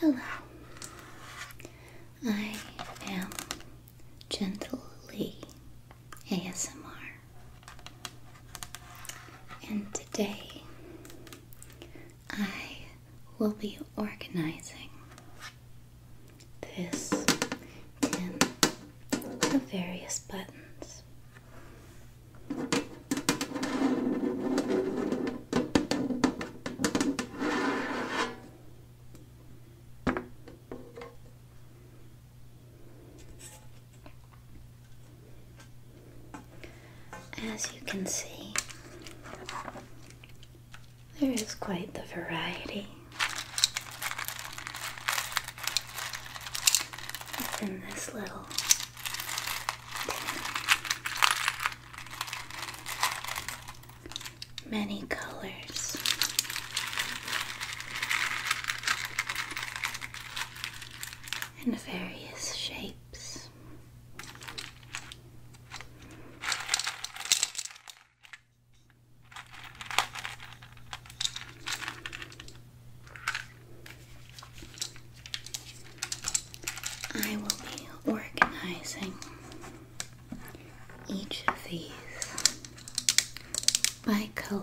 Hello, I am Gentle Lee ASMR, and today I will be organizing this tin of various buttons as you can see, there is quite the variety in this little many colors. And various shapes. I will be organizing each of these by color.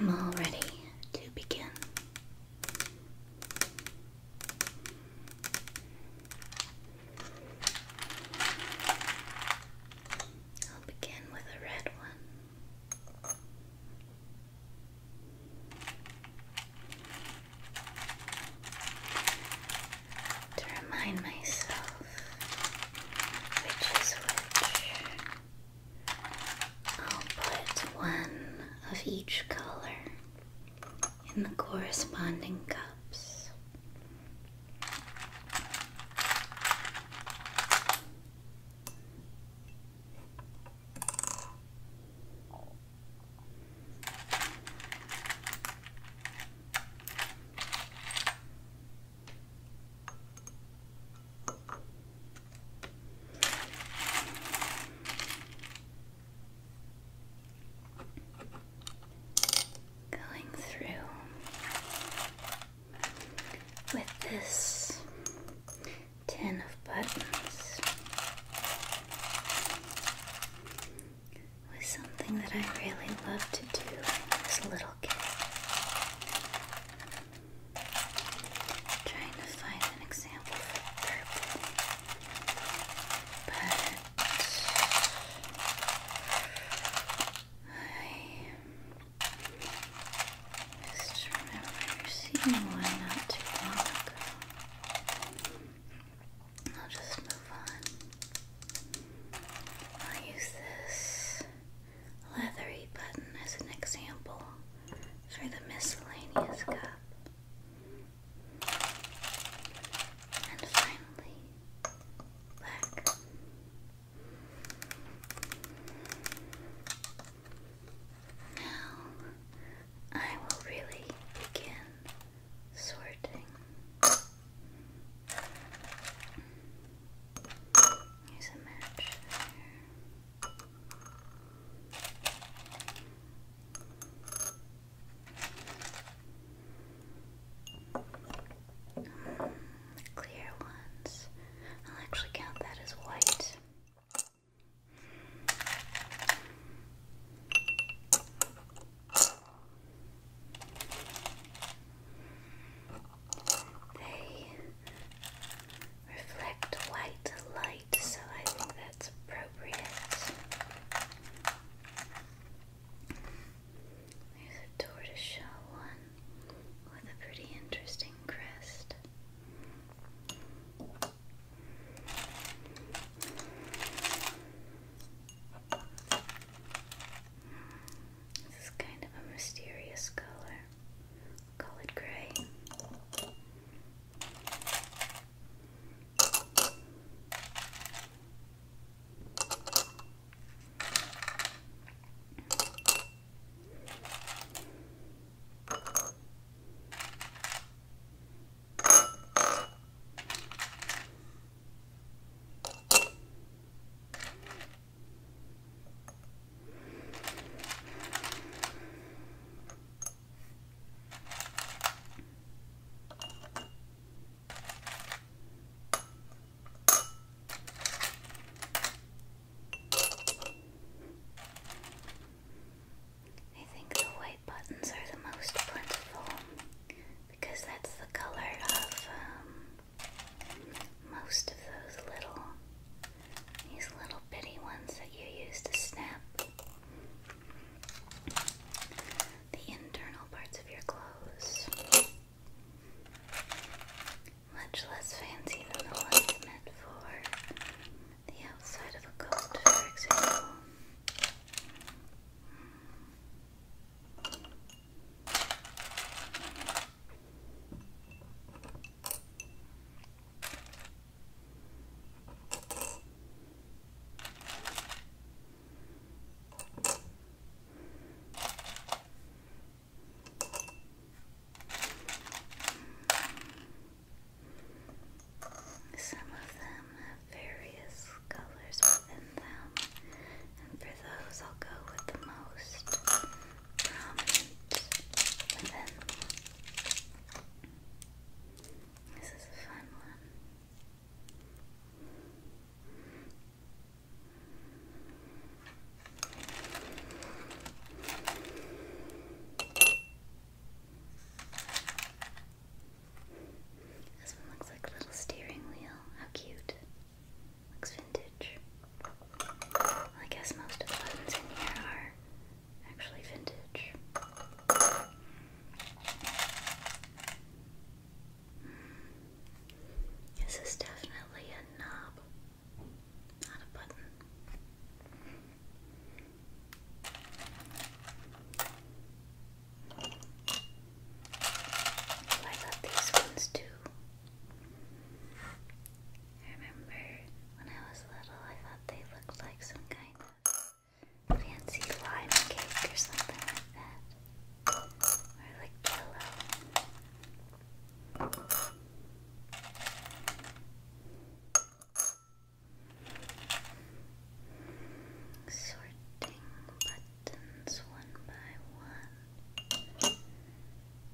I'm all ready to begin. I'll begin with a red one. To remind myself which is which. I'll put one of each color in the corresponding cups. Going through with this tin of buttons was something that I really love to do as a little kid trying to find an example for purple, but I just remember seeing one not too long ago. I'll just move on. I'll use this leathery button as an example for the miscellaneous cup. And finally, black. Now I will really begin sorting clear ones. I'll actually count that as white. They reflect white light, so I think that's appropriate. There's a tortoiseshell one with a pretty interesting crest. This is kind of a mysterious color call it gray. I think the white buttons are the most plentiful because that's the color of um, most of those little, these little bitty ones that you use to snap the internal parts of your clothes. Much less fancy than the ones meant for the outside of a coat, for example. Mm. Some of them have various colors within them, and for those I'll go with the most this is a fun one. This one looks like a little steering wheel. How cute. Looks vintage. I guess most of the buttons in here are actually vintage. Hmm. This is definitely a knob, not a button. Oh, I love these ones too. I remember when I was little, I thought they looked like some kind of fancy lime cake or something like that, or like pillow. Sorting buttons one by one.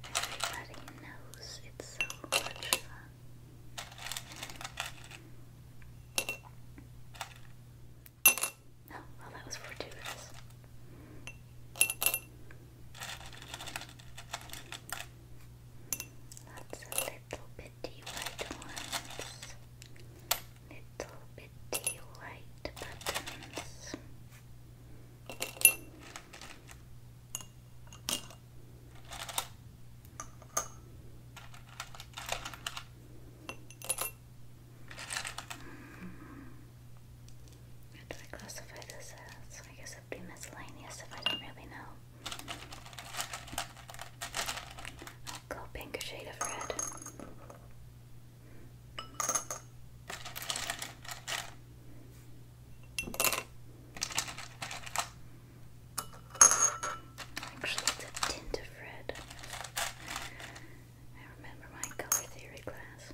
Everybody knows it's so much fun. Oh, well, that was fortuitous. Lots of little bitty white ones. Little bitty white buttons. What do I classify this as? I guess it'd be miscellaneous if I don't really know. I'll a shade of red. Actually, it's a tint of red. I remember my color theory class.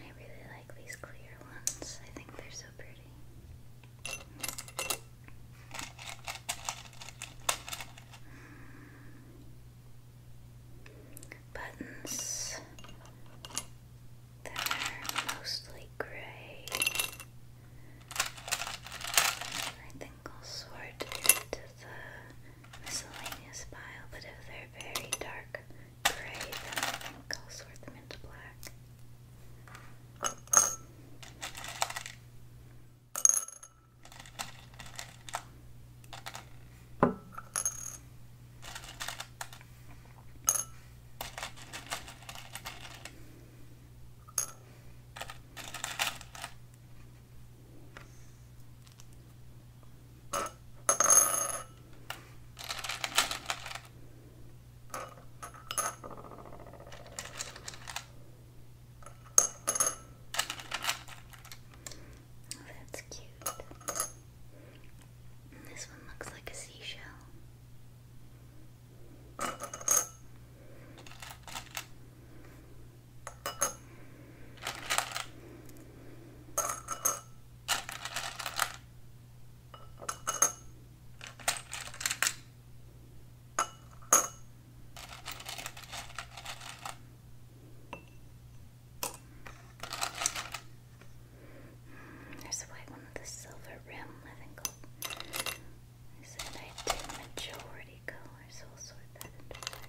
I really like these clear ones. I think they're so pretty. Buttons that are mostly gray. I think I'll sort into miscellaneous pile, but if they're very dark gray, then I think I'll sort them into black. That's cute. This one looks like a seashell. There's a white one with a silver rim, I think i said I did majority color, so I'll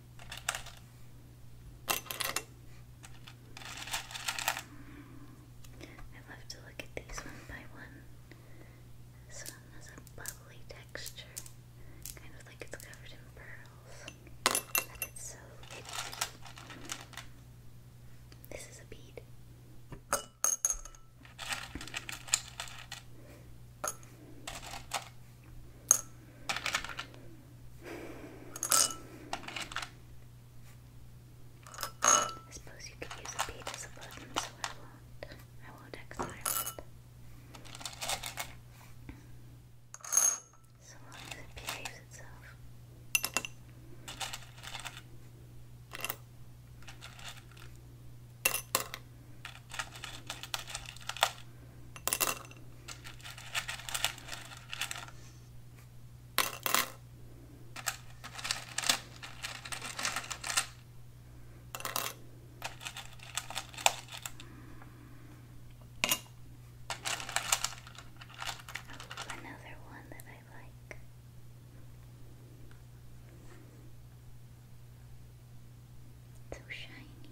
I love to look at these one by one. This one has a bubbly texture, kind of like it's covered in pearls, but it's so itty. This is a bead. I suppose you could use a bead as a button, so I won't. I will long as it behaves itself. Oh, another one that I like. So shiny.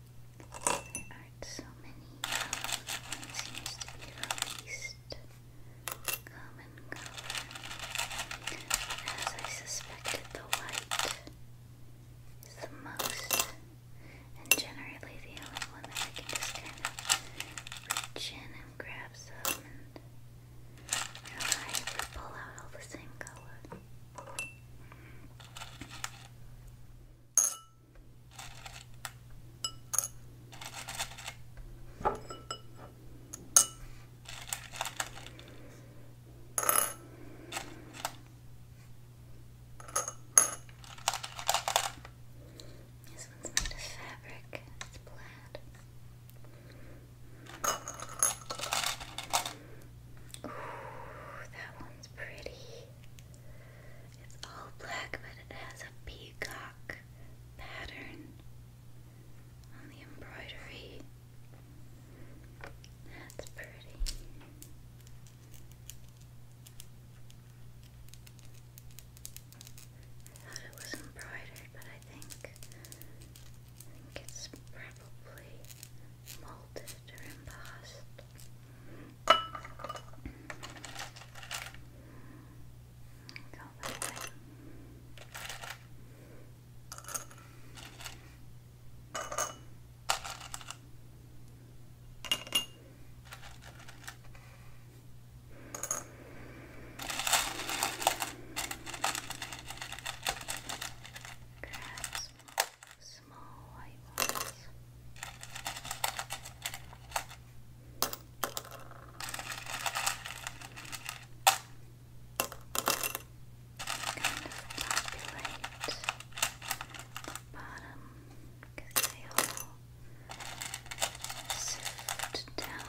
There aren't so many. One seems to be the common color. As I suspected, the white is the most, and generally the only one that I can just kind of reach in and grab some and pull out all the same color. This one's made of fabric, it's plaid. Ooh, that one's pretty. It's all black, but it has a peacock pattern on the embroidery. That's pretty. I thought it was embroidered, but I think I think it's probably molded or embossed. Go that way. Grab some more small white ones. Kind of the bottom because they down there.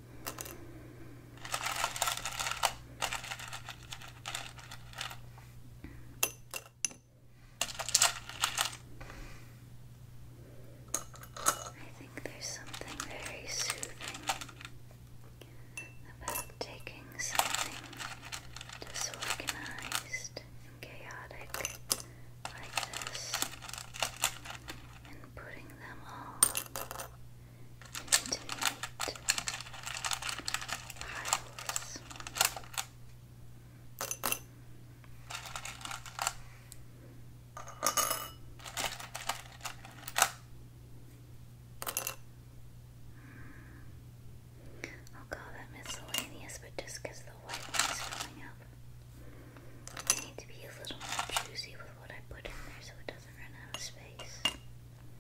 I think there's something very soothing about taking something disorganized and chaotic like this and putting them all intimate piles. I'll call that miscellaneous, but just the white is filling up. I need to be a little choosy with what I put in there so it doesn't run out of space.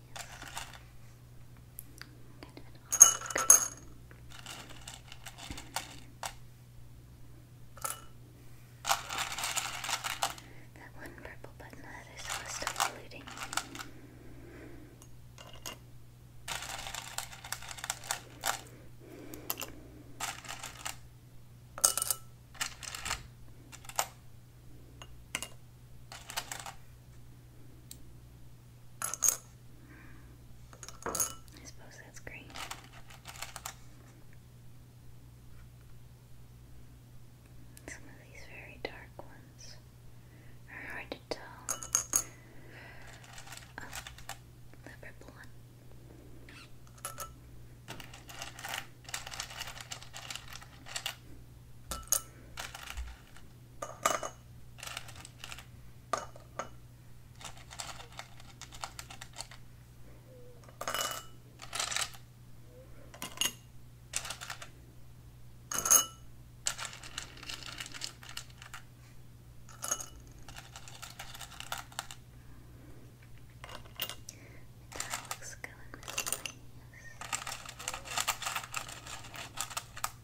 Kind of an odd That one purple button that I saw is still polluting. Okay. I suppose that's great. Some of these very dark ones are hard to tell. Oh, the purple one. That looks good, miscellaneous. There's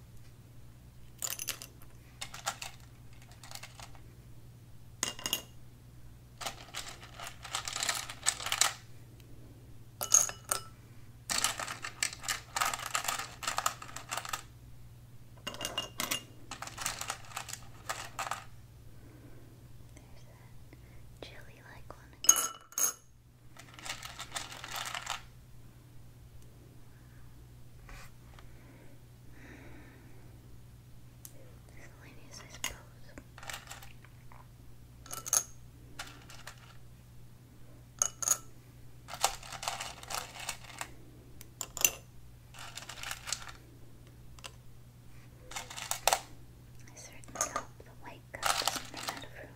that jelly like one again. Miscellaneous, I suppose. I certainly hope the white cup out of room.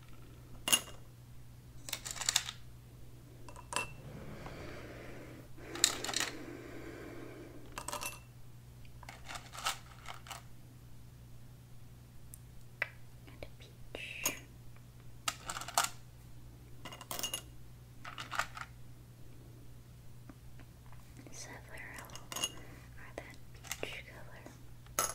And a peach. Several are that peach color.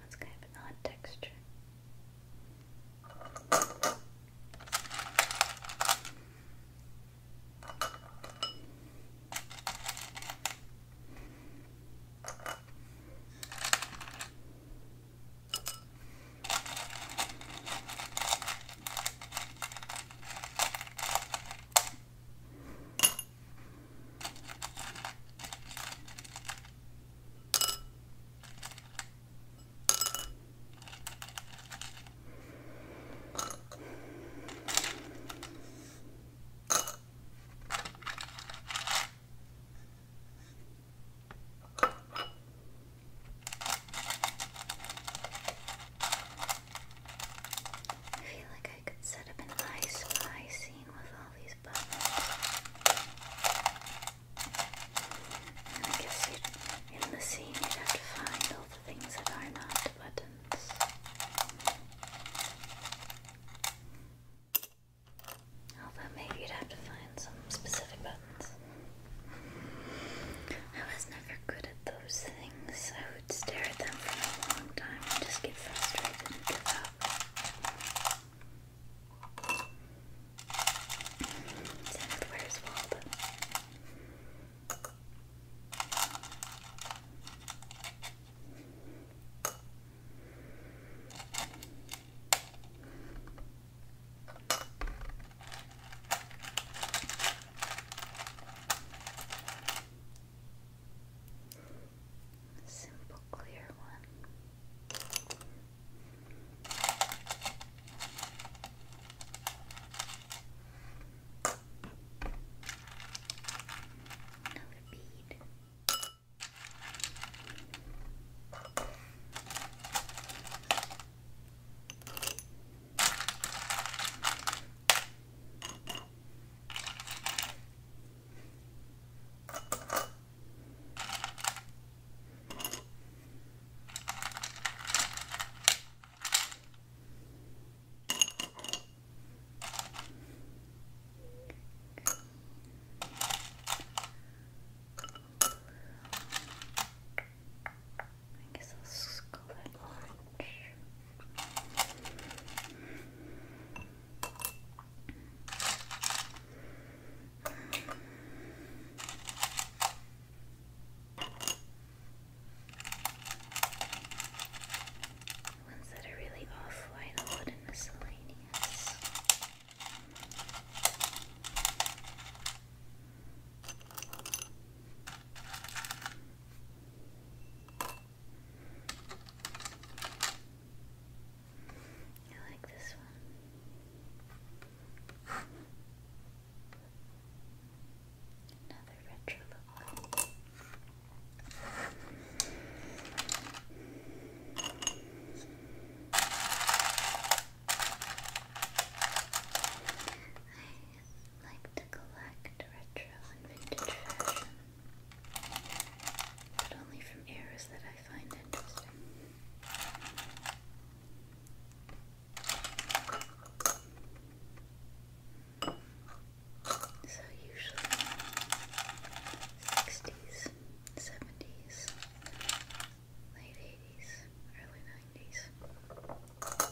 That's kind of an odd texture. I feel like I could set up an spy scene with all these and I guess in the scene you'd have to find all the things that are not buttons. Although maybe you'd have to find some specific buttons. I was never good at those things. I would stare at them for a long time and just get frustrated and give up. Zenith, where's Wald? simple clear one. Another bead. I guess I'll just call it orange. Ones that are really offline, I'll put in miscellaneous. I like this one. Another retro look. I like to collect retro and vintage fashion but only from eras that I find interesting. So usually 60s, 70s, late 80s, early 90s.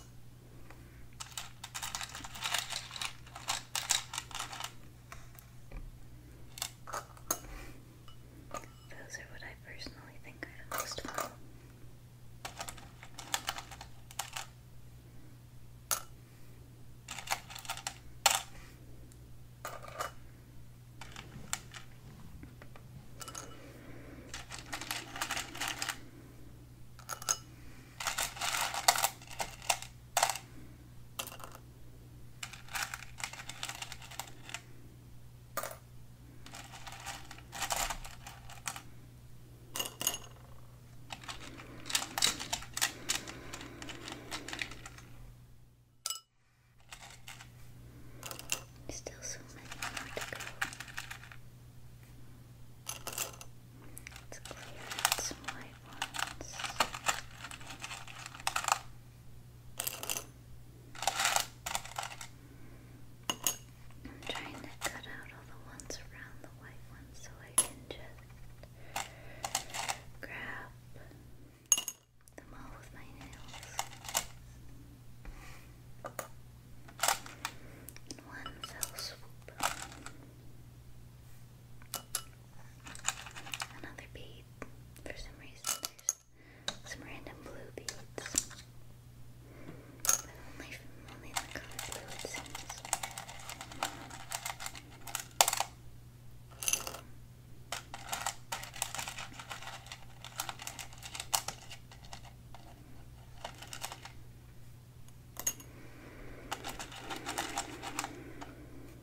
Those are what I personally think are the most fun. Still so many more to go. Let's clear some more ones. I'm trying to cut out all the ones around the white ones so I can just grab them all with my nails. one fell swoop. Another bead. For some reason, some random blue beads. But only, only the color blue, it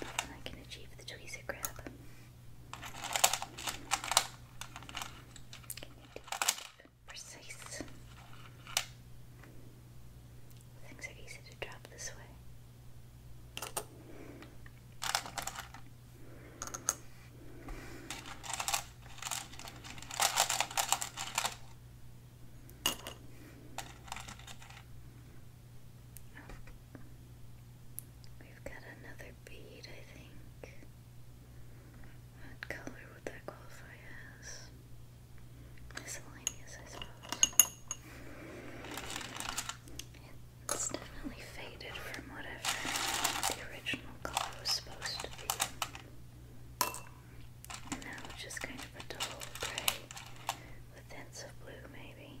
I can achieve the tweezer grab. Can you do precise? Things are easy to drop this way. We've got another bead, I think. What color would that qualify as? Miscellaneous, I suppose. It's definitely faded from whatever the original color was supposed to be. And now it's just kind of a dull grey with hints of blue, maybe.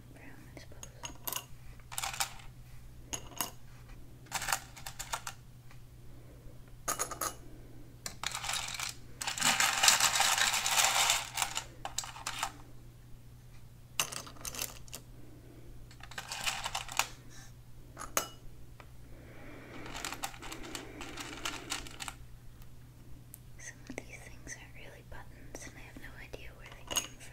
brown, I suppose. Some of these things are really silly buttons, and I have no idea where they came from.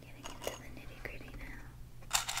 Getting into the nitty gritty now. Swallow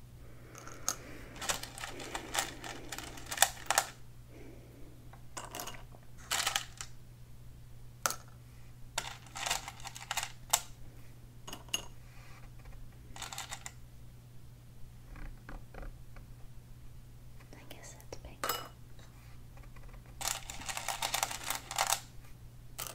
I guess that's pink.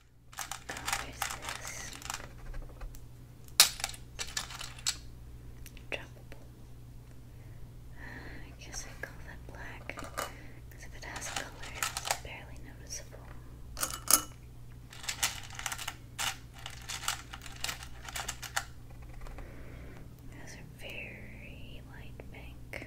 Where's this? Droppable. I guess I call that black because if it has color, it's barely noticeable. Those are very light pink.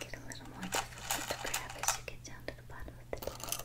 Get a little more difficult to grab as you get down to the bottom of the table.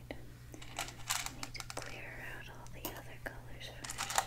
I need to clear out all the other colors first.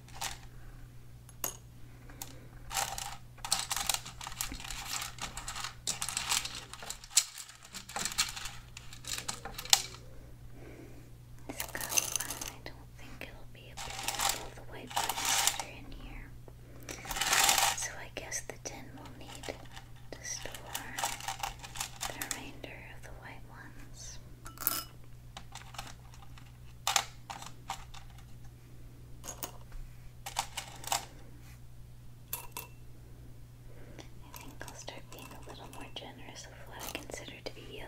This cup, I don't think it'll be able to all the white plaster in here. So I guess the tin will need to store the remainder of the white ones. I think I'll start being a little more generous with what I consider to be yellow.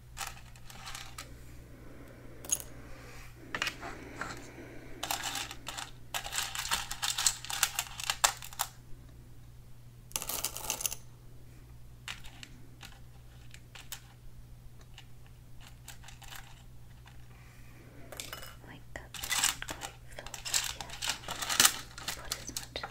My cup isn't quite filled yet. Put as much as I can.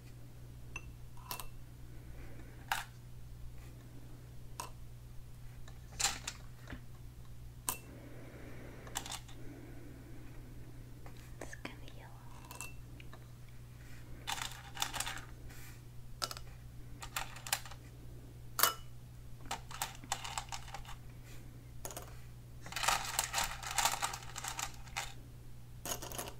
It's kind of yellow. It's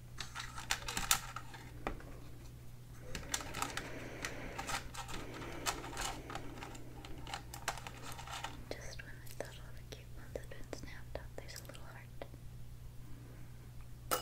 Just when I thought all the cute ones had been snapped up, there's a little heart. There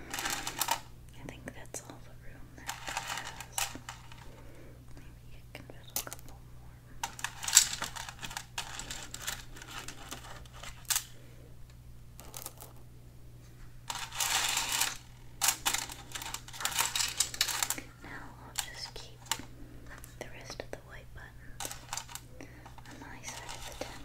I think that's all the room that Maybe I can fit a couple more. Now I'll just keep the rest of the white buttons on my side of the tent.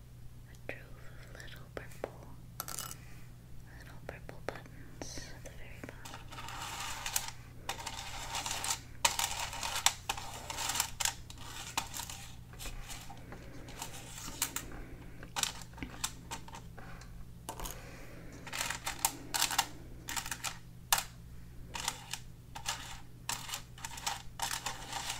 a drove of little purple, little purple buttons at the very bottom.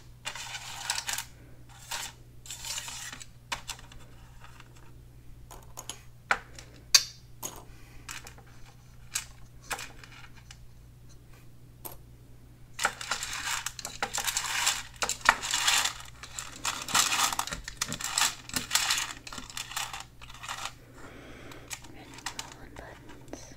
Ribbon buttons.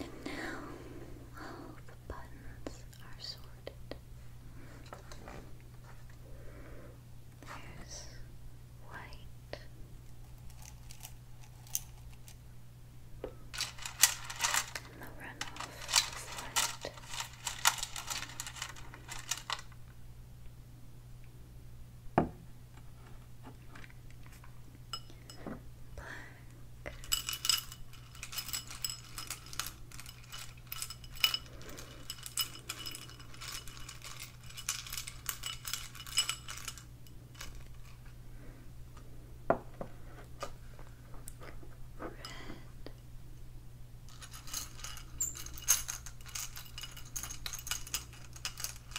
And now all the buttons are sorted. There's white. And the runoff is white. Black. Red. Green.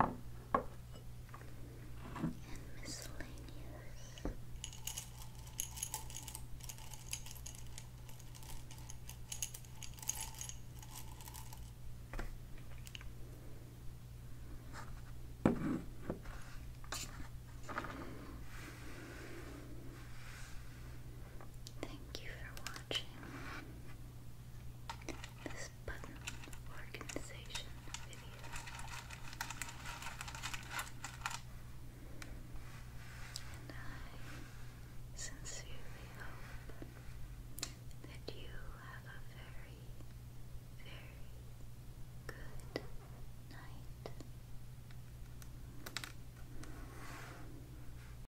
and miscellaneous. Thank you for watching this button organization video. And I sincerely hope that you have a very, very good night.